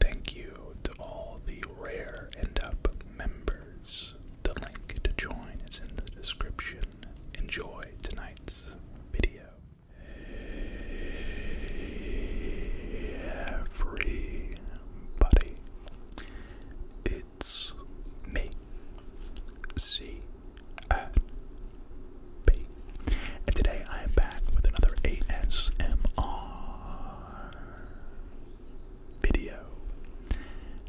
Thank you to all the Rare end Up members. The link to join is in the description. Enjoy tonight's video. Everybody, it's me, C and today I am back with another ASMR video.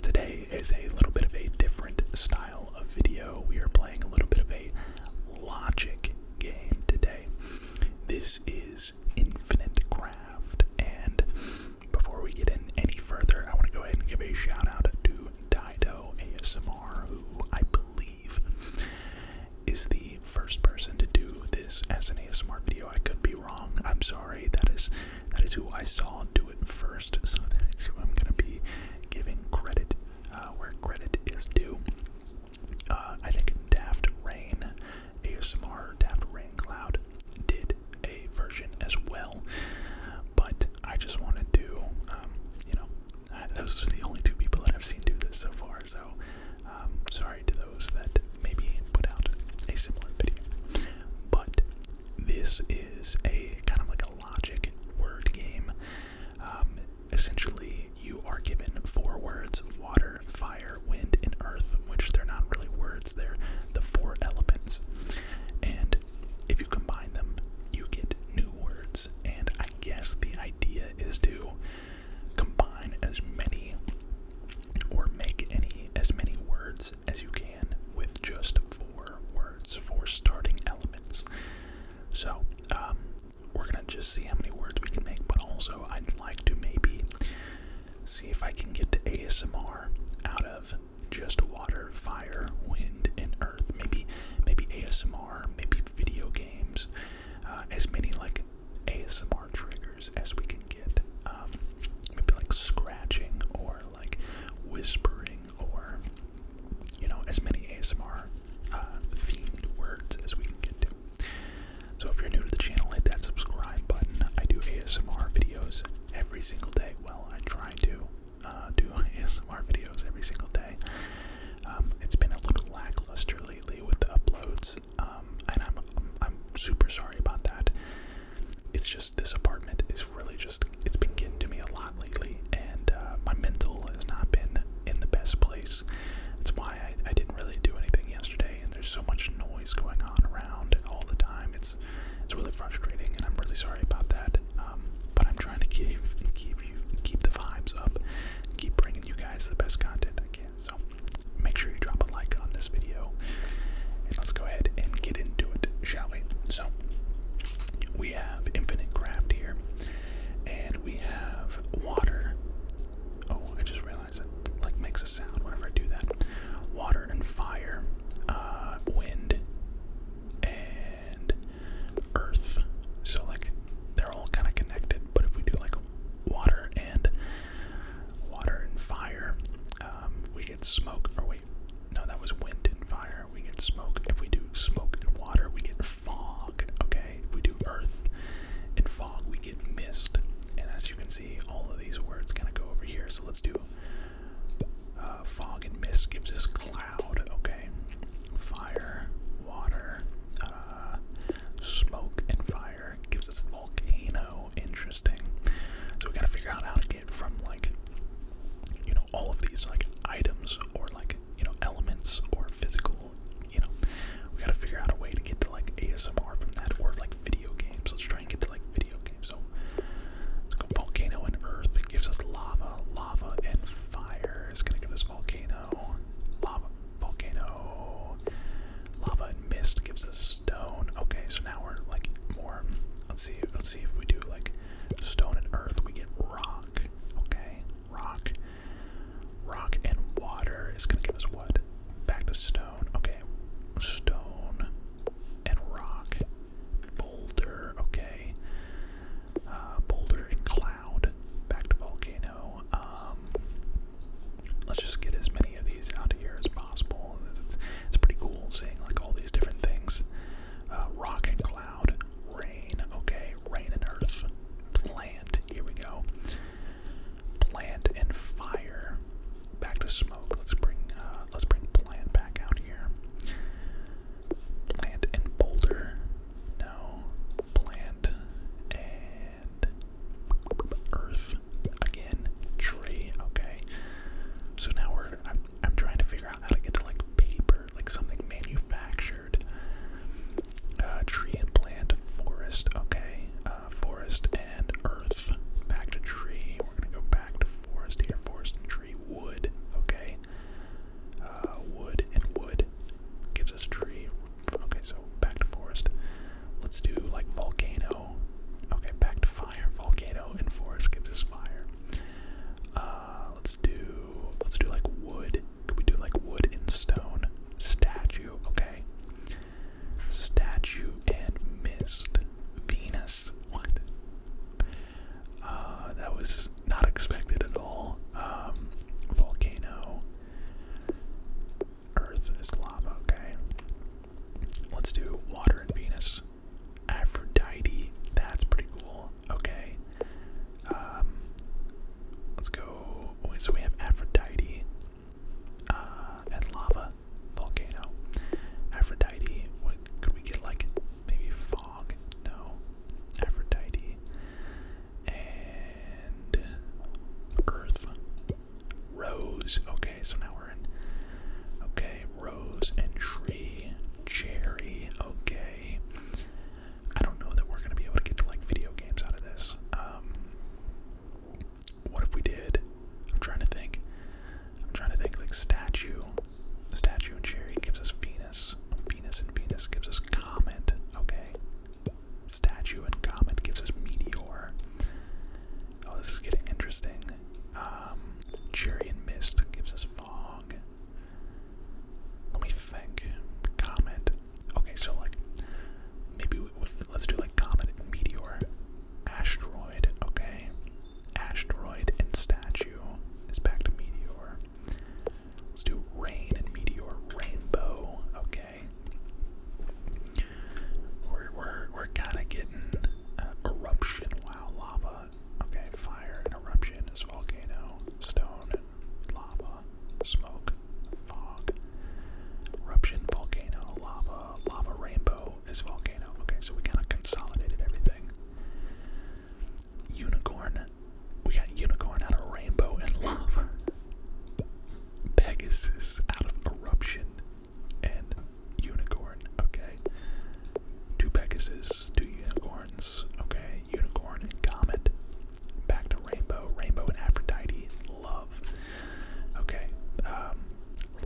Today is a little bit of a different style of video. We are playing a little bit of a logic game today. This is Infinite Craft, and before we get in any further, I want to go ahead and give a shout out to Dido ASMR, who I believe is the first person to do this as an ASMR video. I could be wrong. I'm sorry. That is that is who I saw do it first. So that's who I'm gonna be giving credit uh, where credit is due. Uh, I think Daft Rain ASMR Daft Rain Cloud did a version as well, but I just want to, do, um, you know, those are the only two people that I've seen do this so far. So, um, sorry to those that maybe put out a similar video. But this is a kind of like a logic word game. Um, essentially, you are given four words water, fire, wind, and earth, which they're not really words, they're the four elements. And if you combine them, you get new words. And I guess the idea is to Combine as many or make any as many words as you can with just four words, for starting elements. So, um, we're gonna just see how many words we can make, but also I'd like to maybe see if I can get to ASMR out of just water, fire, wind, and earth. Maybe, maybe ASMR, maybe video games, uh, as many like ASMR triggers as we can get. Um, maybe like scratching or like whispering or, you know, as many ASMR uh, themed words as we can get to. So if you're new to the channel, hit that subscribe button. I do ASMR videos every single day. Well, I try to uh, do ASMR videos every single day. Um, it's been a little lackluster lately with the uploads. Um, and I'm I'm super sorry about that. It's just this apartment is really just it's been getting to me a lot lately, and uh, my mental has not been in the best place. That's why I, I didn't really do anything yesterday, and there's so much noise going on around all the time. It's it's really frustrating, and I'm really sorry about that. Um, but I'm trying to keep keep you keep the vibes up, keep bringing you guys the best content I can. So make sure you drop a like on this video and let's go ahead and get into it, shall we? So we have infinite craft here and we have water. Oh, I just realized it like makes a sound whenever I do that. Water and fire, uh, wind and earth. So like they're all kind of connected, but if we do like water and water and fire. Um, we get smoke, or wait, no, that was wind and fire. We get smoke. If we do smoke and water, we get fog. Okay, if we do earth and fog, we get mist. And as you can see, all of these words kind of go over here. So let's do uh, fog and mist gives us cloud. Okay, fire, water, uh, smoke, and fire gives us volcano. Interesting. So we gotta figure out how to get from like you know all of these like items or like you know elements or physical you know we gotta figure out a way to get to like ASMR from that or like video games. Let's try and get to like video games. So let's volcano and earth it gives us lava, lava and fire is gonna give us volcano. Lava, volcano, lava and mist gives us stone. Okay, so now we're like more. Let's see. Let's see if we do like stone and earth. We get rock. Okay, rock, rock and water is gonna give us what? Back to stone. Okay, stone and rock, boulder. Okay, uh, boulder and cloud. Back to volcano. Um, let's just get as many of these out of here as possible. It's, it's pretty cool seeing like all these different things. Uh, rock and cloud, rain, okay, rain and earth, plant, here we go. Plant and fire, back to smoke. Let's bring uh, let's bring plant back out here. Plant and boulder, no. Plant earth again, tree, okay. So now we're I'm I'm trying to figure out how to get to like paper, like something manufactured. Uh, tree and plant, forest, okay. Uh, forest and earth. Back to tree. We're gonna go back to forest here. Forest and tree. Wood, okay. Uh, wood and wood gives us tree. Okay, so back to forest. Let's do like volcano. Okay, back to fire. Volcano and forest gives us fire. Uh, let's do let's do like wood. Could we do like wood and stone? Statue. Okay. Statue and mist. Venus. What? Uh, that was not expected at all. Um, volcano. Earth is lava, okay? Let's do water and Venus. Aphrodite, that's pretty cool, okay? Um, let's go. so we have Aphrodite uh, and lava, volcano. Aphrodite, what could we get like maybe fog? No. Aphrodite and earth, rose. Okay, so now we're in. Okay, rose and tree, cherry. Okay, I don't know that we're gonna be able to get to like video games out of this. Um, what if we did? I'm trying to think. I'm trying to think like statue. Statue and cherry gives us Venus. Venus and Venus gives us comet. Okay. Statue and comet gives us meteor. Oh, this is getting interesting. Um, Cherry and mist gives us fog. Let me think. Comet. Okay, so like maybe we, let's do like comet and meteor, asteroid. Okay, asteroid and statue is back to meteor. Let's do rain and meteor, rainbow. Okay. We're we're we're kind of getting uh, eruption. Wow, lava. Okay, fire and eruption is volcano, stone, and lava, smoke, fog, eruption, volcano, lava, lava rainbow is volcano. Okay, so we kind of consolidated everything. Unicorn. We got unicorn out of rainbow and lava. Pegasus out of Eruption and Unicorn. Okay. Two Pegasus, two unicorns. Okay. Unicorn and Comet. Back to Rainbow. Rainbow and Aphrodite. Love. Okay. Um,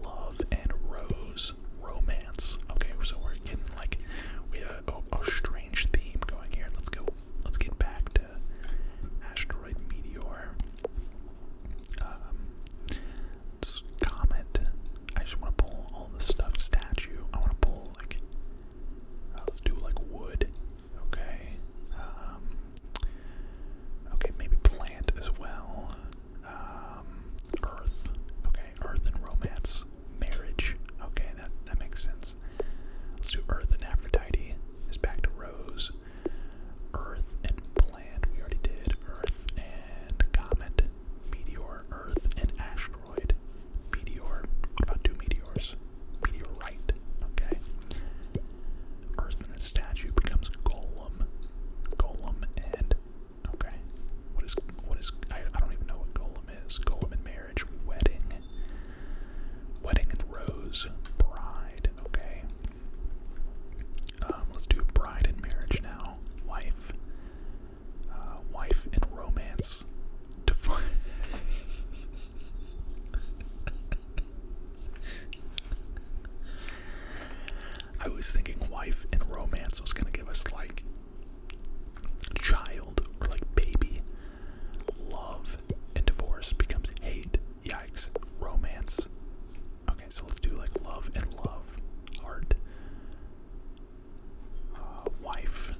love and Rose. Romance. Okay. So we're getting like, we have a strange theme going here. Let's go let's get back to asteroid meteor. Um, comet. I just want to pull all this stuff. Statue. I want to pull like. Uh, let's do like wood. Okay. Um, okay, maybe plant as well. Um, earth. Okay, earth and romance, marriage. Okay, that that makes sense. Let's do Earth and Aphrodite. Is back to Rose. Earth and Plant, we already did. Earth and Comet. Meteor, Earth, and Asteroid. Meteor. What about two meteors? Meteorite. Okay. Earth and statue becomes Golem. Golem and okay. What is what is I, I don't even know what Golem is. Golem and marriage, wedding. Wedding and Rose, Bride, okay. Um, let's do Bride and Marriage now. Wife, uh, Wife and Romance. Define. I was thinking wife and romance was gonna give us like child or like baby, Love and divorce becomes hate. Yikes. Romance. Okay, so let's do like love and love. Art. Uh, wife.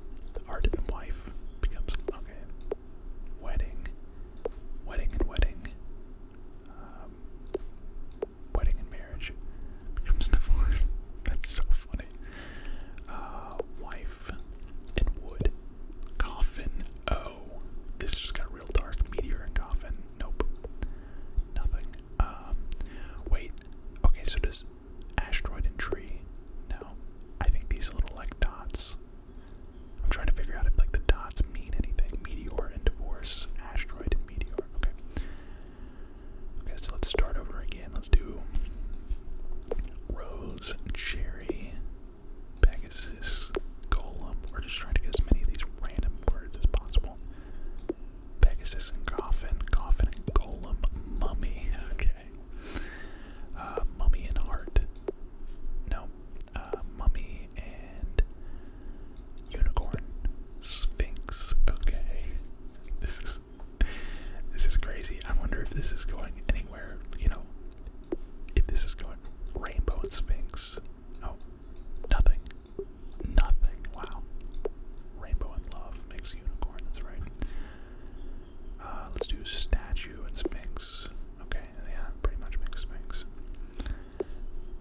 Heart and wife becomes. Okay. Wedding. Wedding and wedding. Um, wedding and marriage becomes divorce. That's so funny. Uh, wife and wood. Coffin. Oh this just got real dark. Meteor and coffin. Nope. Nothing. Um, wait. Okay, so does asteroid and tree? No. I think these little like dots. I'm trying to figure out if like the dots mean anything. Meteor and divorce. Asteroid and meteor. Okay. Okay, so let's start over again. Let's do rose, cherry, Pegasus, Golem. We're just trying to get as many of these random words as possible. Pegasus and Coffin, Coffin and Golem, Mummy. Okay. Uh, mummy and Heart. No. Uh, mummy and Unicorn, Sphinx. Okay. This is this is crazy. I wonder if this is going anywhere. You know, if this is going rainbow and sphinx. Oh, nothing. Nothing. Wow. Rainbow and love makes unicorn, that's right. Uh, let's do statue and sphinx. Okay, yeah, pretty much makes sphinx.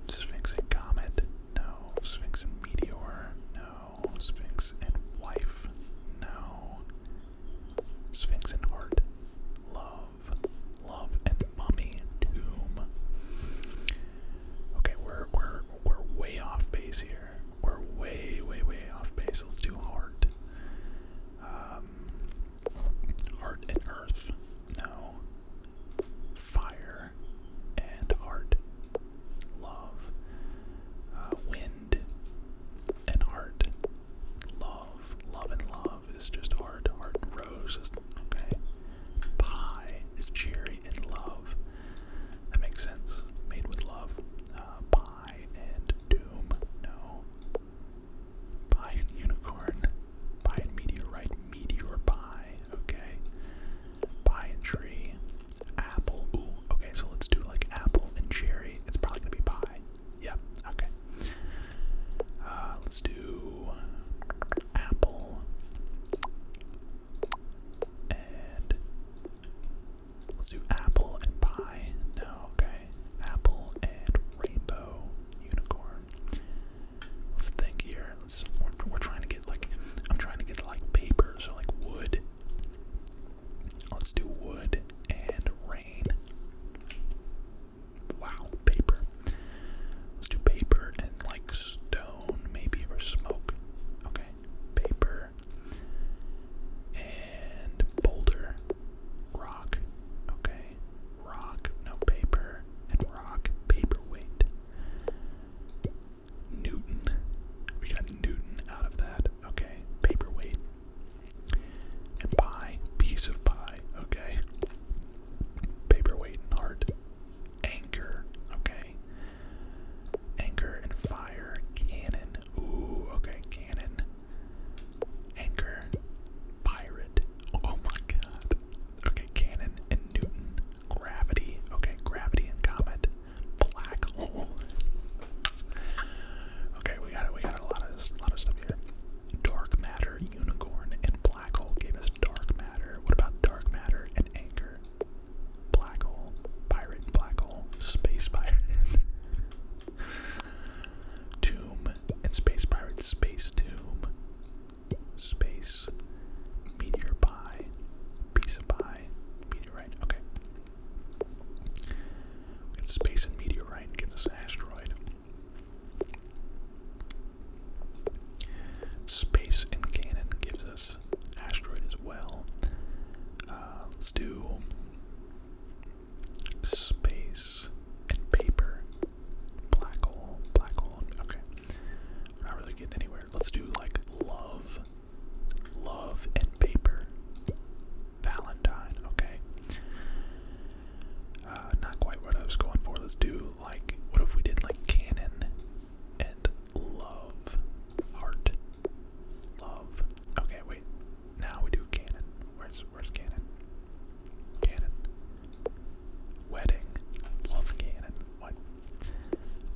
Sphinx and comet. No. Sphinx and meteor. No. Sphinx and wife. No. Sphinx and heart. Love. Love and Mummy Doom. Okay, we're we're we're way off base here. We're way, way, way off base. Let's do heart. Um, heart and Earth. No. Fire and heart. Love. Uh, wind and heart. Love. Love and love love is just art. Art and rose is okay. Pie is cherry and love. That makes sense. Made with love. Uh, pie and doom. No. Pie and unicorn. Pie and meteorite. Meteor pie. Okay. Pie and tree. Apple. Ooh. Okay. So let's do like apple and cherry. It's probably gonna be pie. Yeah, okay. Uh, let's do apple and let's do apple and pie. No, okay. Apple and rainbow unicorn. Let's think here. Let's we're, we're trying to get like I'm trying to get like paper, so like wood. Let's do wood and rain. Wow, paper. Let's do paper and like stone, maybe, or smoke. Okay, paper and boulder, rock. Okay, rock, no paper, and rock, paperweight. Newton. We got Newton out of that. Okay, paperweight pie, piece of pie, okay. Paperweight and heart. Anchor, okay. Anchor and fire. Cannon. Ooh, okay, cannon. Anchor. Pirate. Oh my god. Okay, cannon and Newton. Gravity. Okay, gravity and comet. Black hole. Okay, we got it. We got a lot of lot of stuff here dark matter, unicorn, and black hole gave us dark matter. What about dark matter and anchor? Black hole, pirate, black hole, space pirate. tomb and space pirate, space tomb, space meteor pie, piece of pie, meteorite. Okay. And space and meteorite gives us asteroid. Space and cannon gives us asteroid as well. Uh, let's do space and paper. Black hole, black hole. Okay, not really getting anywhere. Let's do like love, love and paper. Valentine, okay? Uh, not quite what I was going for. Let's do like, what if we did like canon and love, heart, love. Okay, wait. Now we do canon. Where's where's canon? Canon, wedding, love canon. What?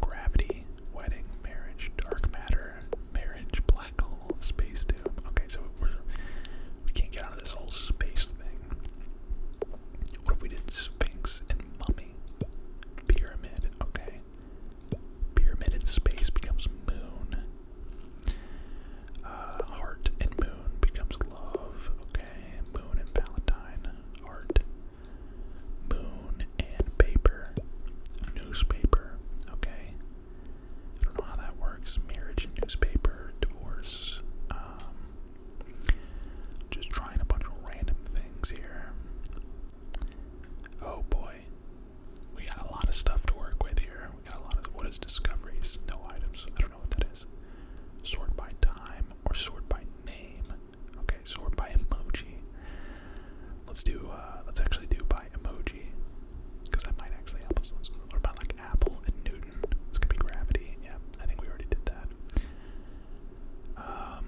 Gravity, wedding, marriage, dark matter, marriage, space tube. Okay, so we're, we can not get out of this whole space thing. What if we did Sphinx and Mummy? Pyramid, okay. Pyramid in space becomes moon. Uh, heart and moon becomes love, okay. Moon and Valentine, heart. Moon and paper, newspaper, okay. I don't know how that works. Marriage newspaper, divorce. Um, just trying a bunch of random things here. Oh boy, we got a lot of stuff to work with here. We got a lot of what is discoveries? No items. I don't know what that is. Sort by time or sort by name. Okay, sort by emoji. Let's do. Uh, let's actually do by emoji. Because that might actually help us. let about like Apple and Newton? It's gonna be gravity. Yeah, I think we already did that. Um,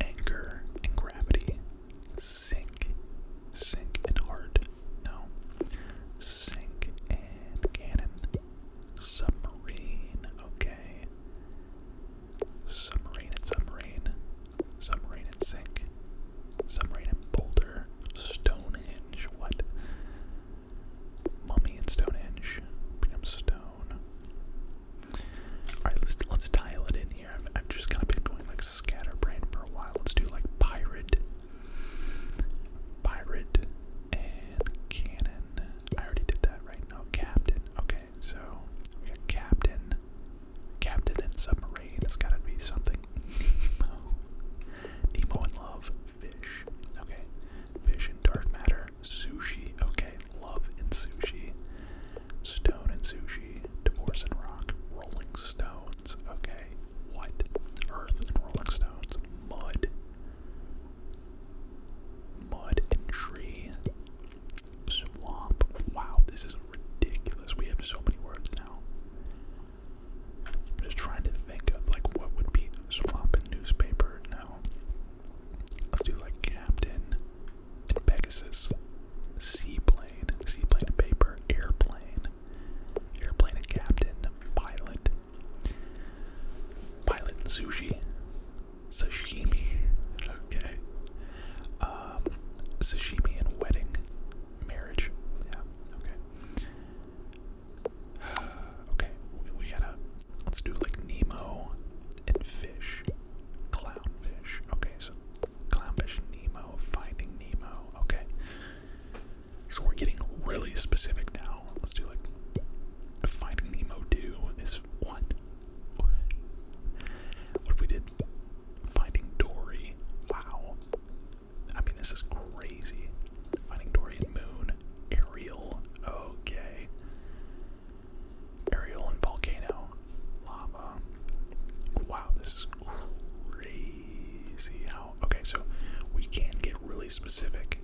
anchor and gravity. Sink, sink and hard. No. Sink and cannon. Submarine. Okay. Submarine and submarine some rain in Sink, some rain in Boulder, Stonehenge, what? Mummy and Stonehenge become stone. Alright, let's let's dial it in here. I've, just kind of been going like scatterbrain for a while. Let's do like pirate, pirate, and cannon. I already did that, right? No, captain. Okay, so we got captain, Captain and submarine. It's gotta be something. Nemo. and love. Fish. Okay. Fish and dark matter. Sushi. Okay. Love and sushi. Stone and sushi. Divorce and rock. Rolling stones. Okay. What? Earth and rolling stones. Mud. Mud and tree. Swamp. Wow, this is ridiculous. We have so many words now. I'm just trying to think of like what would be swapping newspaper now. Let's do like Captain Pegasus, Seaplane, Seaplane and Paper, Airplane, Airplane and Captain, Pilot, Pilot and Sushi, Sashimi, okay, um, Sashimi and Wedding, marriage. Yeah. Okay. okay. We, gotta. Let's do like Nemo and fish. Clownfish. Okay. So clownfish, Nemo, finding Nemo. Okay. So we're getting really specific now. Let's do like finding Nemo. Do is what? What if we did finding Dory? Wow. I mean, this is crazy. Finding Dorian Moon, Ariel, okay. Ariel and Volcano, Lava. Wow, this is crazy how. Okay, so we can get really specific.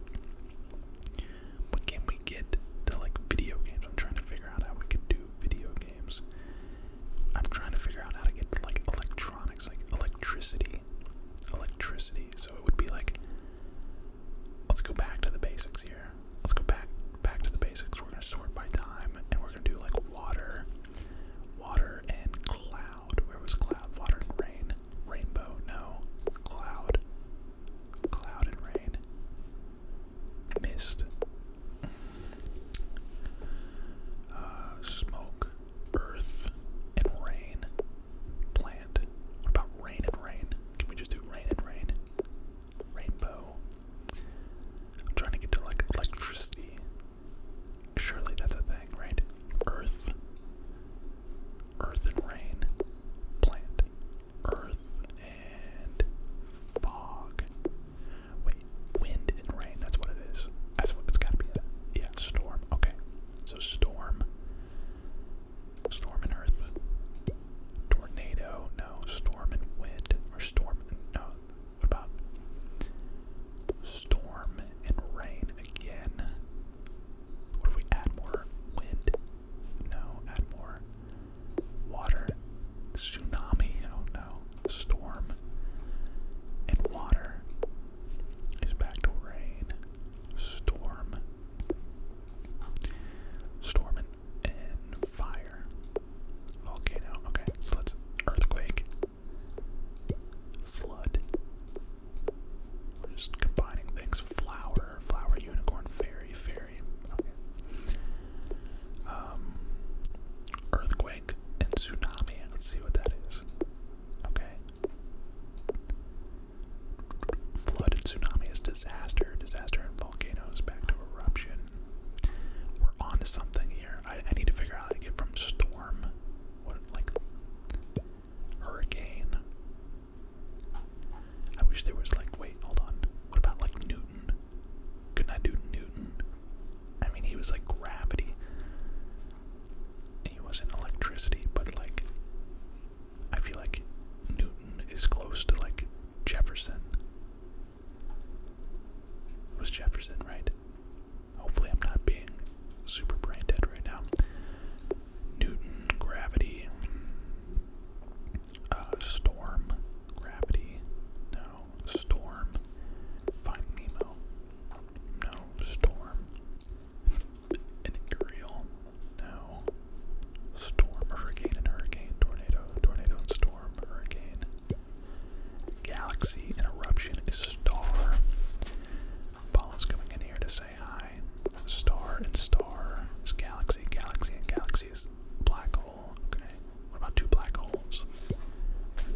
But can we get to like video games? I'm trying to figure out how we can do video games. I'm trying to figure out how to get like electronics, like electricity, electricity. So it would be like, let's go back to the basics here. Let's go back back to the basics. We're gonna sort by time, and we're gonna do like water, water and cloud. Where was cloud? Water and rain, rainbow. No, cloud, cloud and rain, mist, uh, smoke, earth, and rain. Plant. What about rain and rain? Can we just do rain and rain? Rainbow. I'm trying to get to like electricity. Surely that's a thing, right? Earth. Earth and rain. Plant. Earth and fog. Wait, wind and rain, that's what it is. That's what it's gotta be. Yeah, storm. Okay. So storm. Storm and earth. Tornado, no. Storm and wind. Or storm and no. What about storm and rain again? What if we add more wind? No, add more water. Tsunami. Oh no storm, and water is back to rain, storm, storm and, fire, volcano, okay, so let's, earthquake, flood, just combining things, flower, flower, unicorn, fairy, fairy, okay. Um, earthquake and tsunami. Let's see what that is. Okay. Flood tsunami is disaster. Disaster and volcanoes back to eruption. We're on something here. I, need to figure out how to get from storm, what like hurricane. I wish there was like wait, hold on. What about like Newton? could Newton? I mean, he was like gravity. He wasn't electricity, but like, I feel like Newton is close to like Jefferson. was Jefferson, right? Hopefully, I'm not being super brain dead right now. Newton, gravity, uh, storm, gravity. Storm. Find Nemo. No. Storm. An No. Storm, hurricane, and hurricane, tornado, tornado, and storm, hurricane. Galaxy, an eruption, is star. Paula's coming in here to say hi. Star and star is galaxy, galaxy and galaxy black hole. Okay. What about two black holes?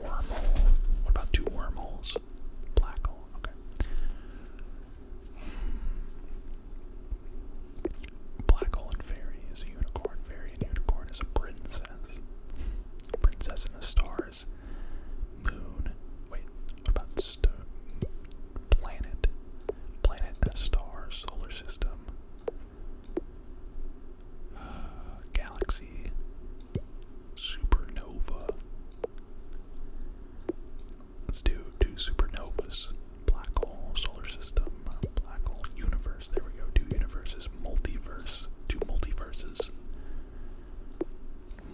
Wormhole. What about two wormholes? Black hole. Okay. Black hole and fairy is a unicorn. Fairy and unicorn is a princess. Princess and the stars. Moon. Wait, what about stone? Planet. Planet and star. Solar system. galaxy. Supernova. Let's do two supernovas. Black hole solar system, black hole universe. There we go. Two universes, multiverse, two multiverses.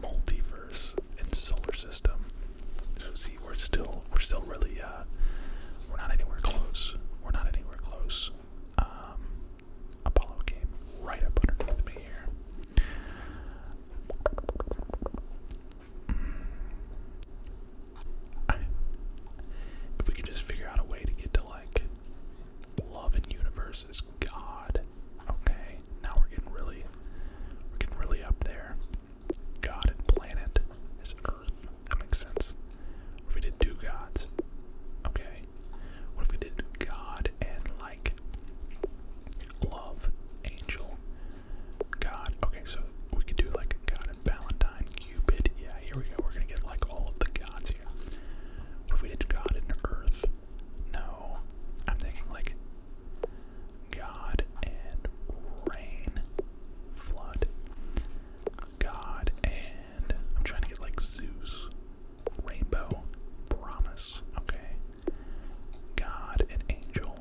Multiverse and solar system. So see, we're still we're still really uh we're not anywhere close. We're not anywhere close. Um, Apollo came right up underneath me here. if we could just figure out a way to get to like love and God. Okay, now we're getting really, we're getting really up there. God and planet is Earth. That makes sense we did two gods? Okay. What if we did God and like love, angel, God? Okay, so we could do like God and Valentine, Cupid. Yeah, here we go. We're gonna get like all of the gods here. What if we did God and Earth? No. I'm thinking like God and rain, flood. God and I'm trying to get like Zeus. Rainbow. Promise. Okay. God and angel.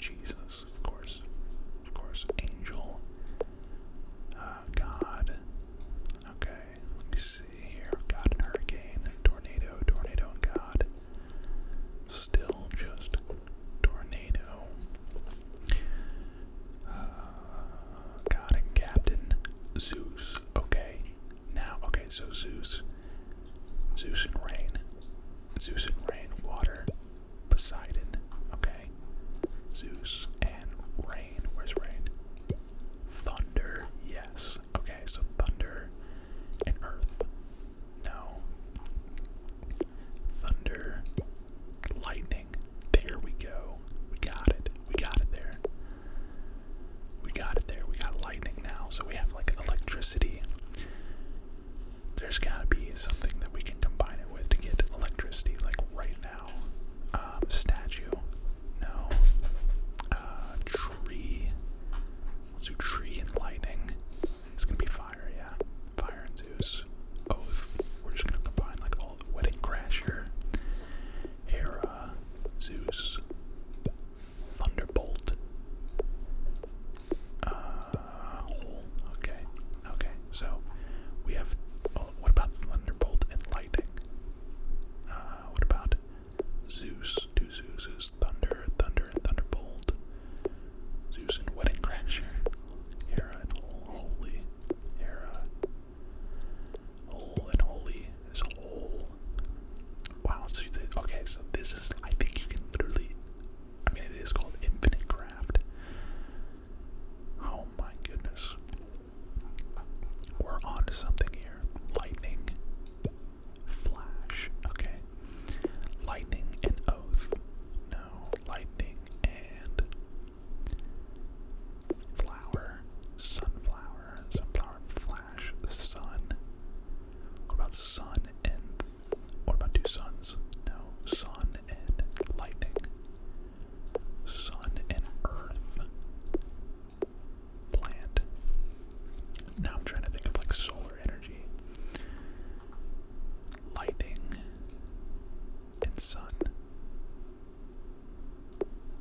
Jesus, of course. Of course. Angel. Uh, God. Okay. Let me see here. God and hurricane. Tornado. Tornado and God. Still just tornado. Uh, God and Captain Zeus. Okay. Now, okay, so Zeus. Zeus and rain. Zeus and rain, water. Poseidon. Okay. Zeus and rain. Where's rain? Thunder. Yes. Okay, so thunder and earth. No. Thunder. Lightning. There we go. We got it. We got it there. We got it there. We got lightning now. So we have like electricity. There's gotta be something that we can combine it with to get electricity, like right now. Um, statue. No. Uh, tree. Let's do tree and lightning. It's gonna be fire, yeah. Fire and Zeus. Oh, We're just gonna combine like all the wedding crasher. Hera, Zeus, Thunderbolt. Uh, Okay, okay. So we have. Oh, what about Thunderbolt and Lightning? Uh, what about Zeus? Two Zeuses, Thunder, Thunder, Thunderbolt. Zeus and Wedding Crasher. Hera and Holy. Hera, Whole and holy. This whole. Wow. So you okay. So this is. I think you can literally. I mean, it is called infinite craft. Oh my goodness. We're on something here. Lightning. Flash. Okay. Lightning and oath. No. Lightning and Flower, sunflower, sunflower, flash, sun. What about sun and what about two suns? No, sun and lightning. Sun and earth. Plant. Now I'm trying to think of like solar energy. Lightning and sun.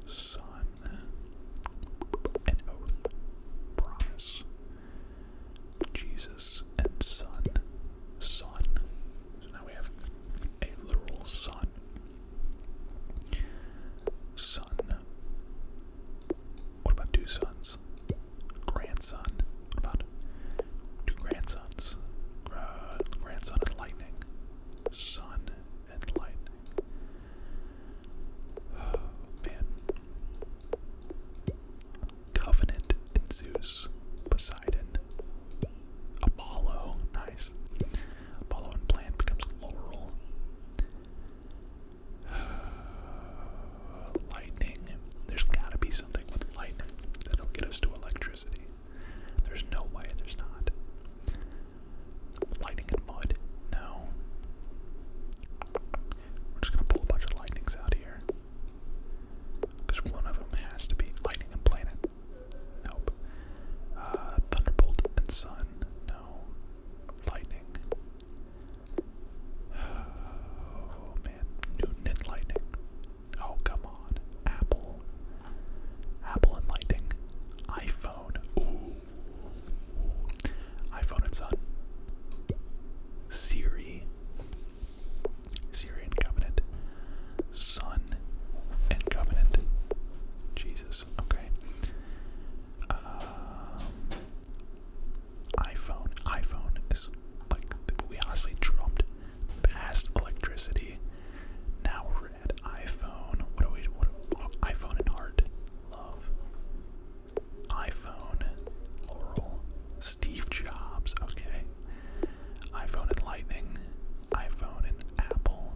Son, an oath, promise. Jesus and Son, Son. So now we have a literal Son. Son. What about two sons? Grandson. What about two grandsons? grandson is lightning. Son and oh, man. Covenant and Zeus, Poseidon, Apollo, nice. Apollo and plant becomes laurel. lightning. There's gotta be something with lightning that'll get us to electricity. There's no way there's not. Lightning and mud? No. We're just gonna pull a bunch of lightnings out here. Because one of them has to be lightning and planet. Nope. Uh, thunderbolt and sun? No. Lightning. Oh man. Newton and lightning. Oh come on. Apple. Apple and Lighting, iPhone, iPhone and Son, Siri, Siri Covenant, Sun and Covenant. Jesus, okay. Um, iPhone, iPhone like we honestly dropped past electricity. Now over at iPhone. What do we what oh, iPhone and heart? Love. iPhone, Laurel, Steve Jobs, okay. iPhone and Lightning, iPhone and Apple,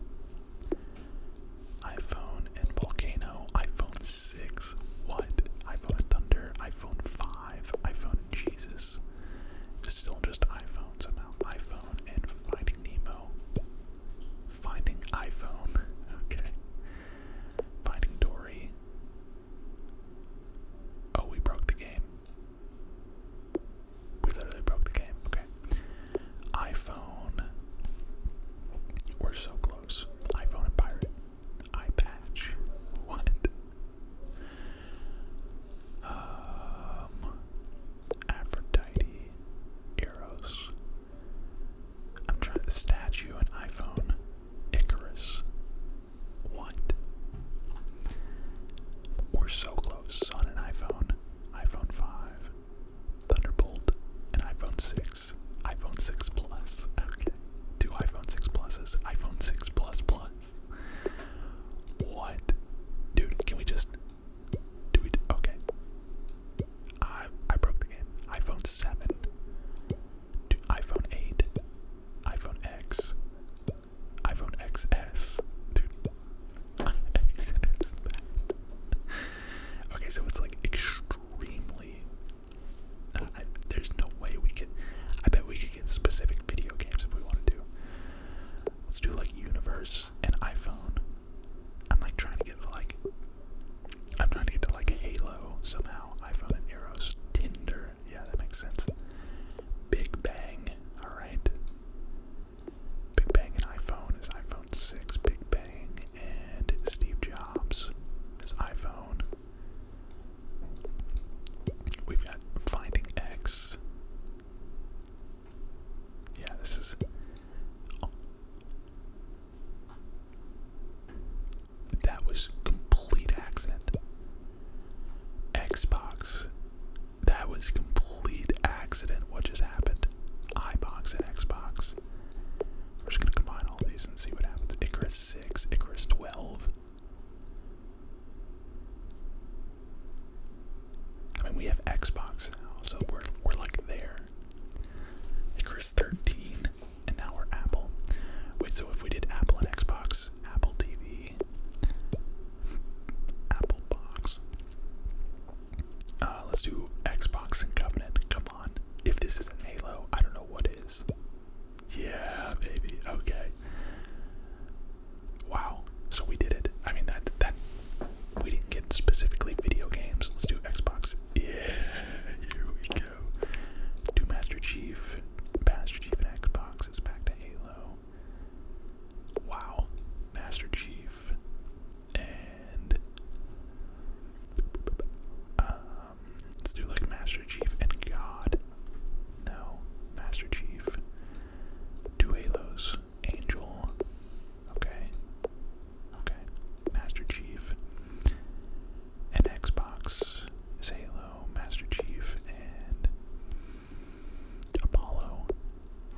iPhone and Volcano, iPhone 6, what? iPhone and Thunder, iPhone 5, iPhone and Jesus. It's still just iPhone somehow. iPhone and Nemo. Finding iPhone. Okay. Finding Dory. Oh, we broke the game. We literally broke the game. Okay. iPhone. We're so close. iPhone and pirate. Eye What? Um. Aphrodite, Eros. I'm trying to statue an iPhone, Icarus. What? We're so close on an iPhone, iPhone 5, Thunderbolt, and iPhone 6, iPhone 6 Plus. Okay, two iPhone 6 Pluses, iPhone 6 Plus Plus. What? Dude, can we just do Okay. I I broke the game. iPhone seven. Do iPhone eight. iPhone X. iPhone XS. Dude. okay, so it's like extremely. Uh, there's no way we can. I bet we could get specific video games if we want to do. Let's do like universe and iPhone. I'm like trying to get to like I'm trying to get to like Halo somehow. iPhone and arrows, Tinder. Yeah, that makes sense. Big Bang. Alright. Big Bang and iPhone is iPhone 6. Big Bang and Steve Jobs is iPhone. We've got Finding X. Yeah, this is. That was complete accident. Xbox. That was complete accident. What just happened? iBox and Xbox. We're just gonna combine all these and see what happens. Icarus 6, Icarus 12. I mean, we have Xbox now, so we're, we're like there. Icarus 13, and now we're Apple. Wait, so if we did Apple and Xbox, Apple TV, Apple Box. Uh, let's do Xbox and Covenant. Come on. If this isn't Halo, I don't know what is. Yeah, baby. Okay. Wow. So we did it. I mean that that we didn't get specifically video games. Let's do Xbox. Yeah, here we go. Do Master Chief. Master Chief and Xbox is back to Halo. Wow. Master Chief and um, let's do like Master Chief and God. No. Master Chief. Do Halos. Angel. Okay. Okay. Master Chief. And Xbox Halo, Master Chief, and Apollo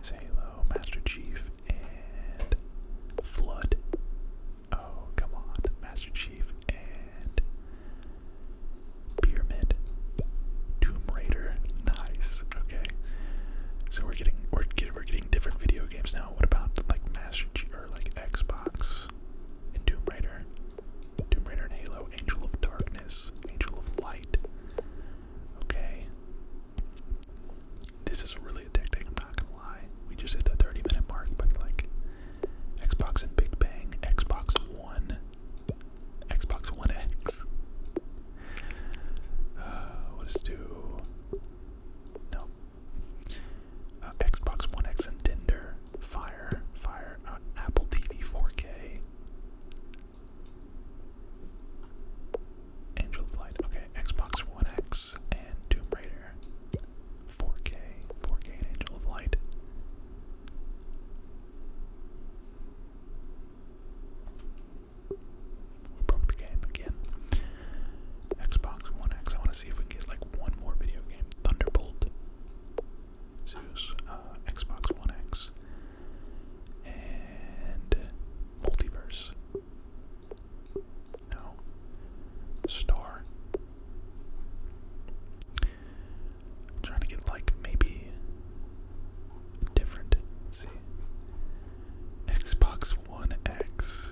Halo, Master Chief, and Flood. Oh, come on. Master Chief and Pyramid. Tomb Raider. Nice. Okay. So we're getting we're getting we're getting different video games now. What about like Master G or like Xbox and Doom Raider, Tomb Raider and Halo, Angel of Darkness, Angel of Light. Okay, this is really addicting. I'm not gonna lie. We just hit the 30 minute mark, but like Xbox and Big Bang, Xbox One, Xbox One X, uh, let's do. No. Uh, Xbox One X and Tinder. Fire. Fire. Uh, Apple TV 4K. Angel Flight. Okay. Xbox One X and Tomb Raider. 4K. 4K Angel of Light. We broke the game again. Xbox One X. I want to see if we can get like one more video game. Thunderbolt. Zeus. Uh, Xbox One X. And Multiverse. No. Star. trying to get like maybe different. Let's see. Xbox One X.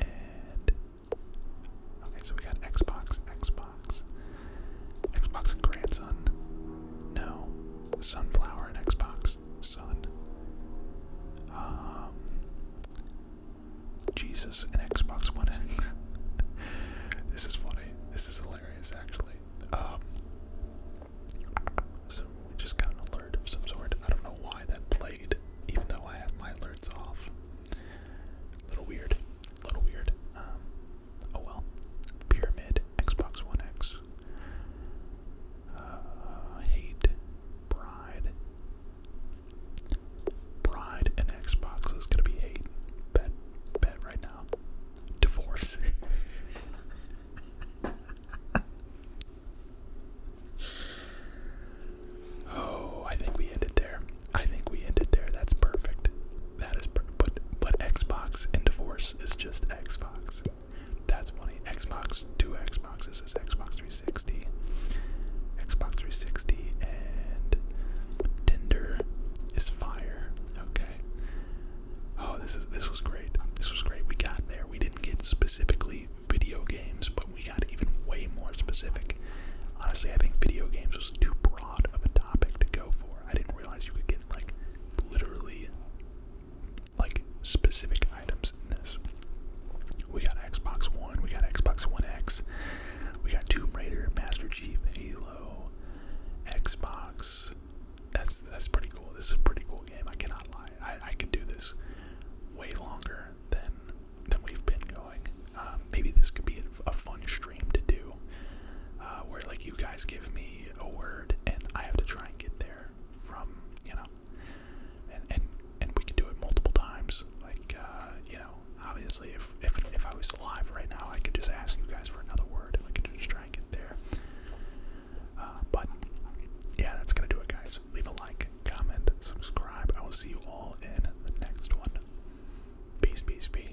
And okay, so we got Xbox, Xbox, Xbox grandson. No, sunflower and Xbox, Son. Um, Jesus and Xbox One X. this is funny. This is hilarious, actually. Um, so we just got an alert of some sort. I don't know why that played, even though I have my alerts off. A little weird. A little weird. Um, oh well. Pyramid, Xbox One X. Uh, hate, Bride. Bride and Xbox is gonna be hate. Bet, bet right now. Divorce. oh, I think we ended there. I think we ended there. That's perfect. That is per but but Xbox and divorce is just Xbox. That's funny. Xbox, two Xboxes. is Xbox 360, Xbox 360, and Tinder is fire. Okay. Oh, this is this was great. This was great. We got there. We didn't get specifically video games, but we got even way more specific. Honestly, I think video games was too broad of a topic to go for. I didn't realize you could get like literally like specific items in this. We got Xbox One, we got Xbox One X, we got Tomb Raider, Master Chief, Halo, Xbox, that's that's pretty cool. This is a pretty cool game. I cannot lie. I, I could do this way longer than than we've been going. Um, maybe this could be a, fun stream to do, uh, where like you guys give me a word and I have to try and get there from you know, and and and we can do it multiple times. Like uh, you know, obviously if if if I was alive right now, I could just ask you guys for another word and I could just try and get there. Uh, but yeah, that's gonna do it, guys. Leave a like, comment, subscribe. I will see you all in the next one. Peace, peace, peace.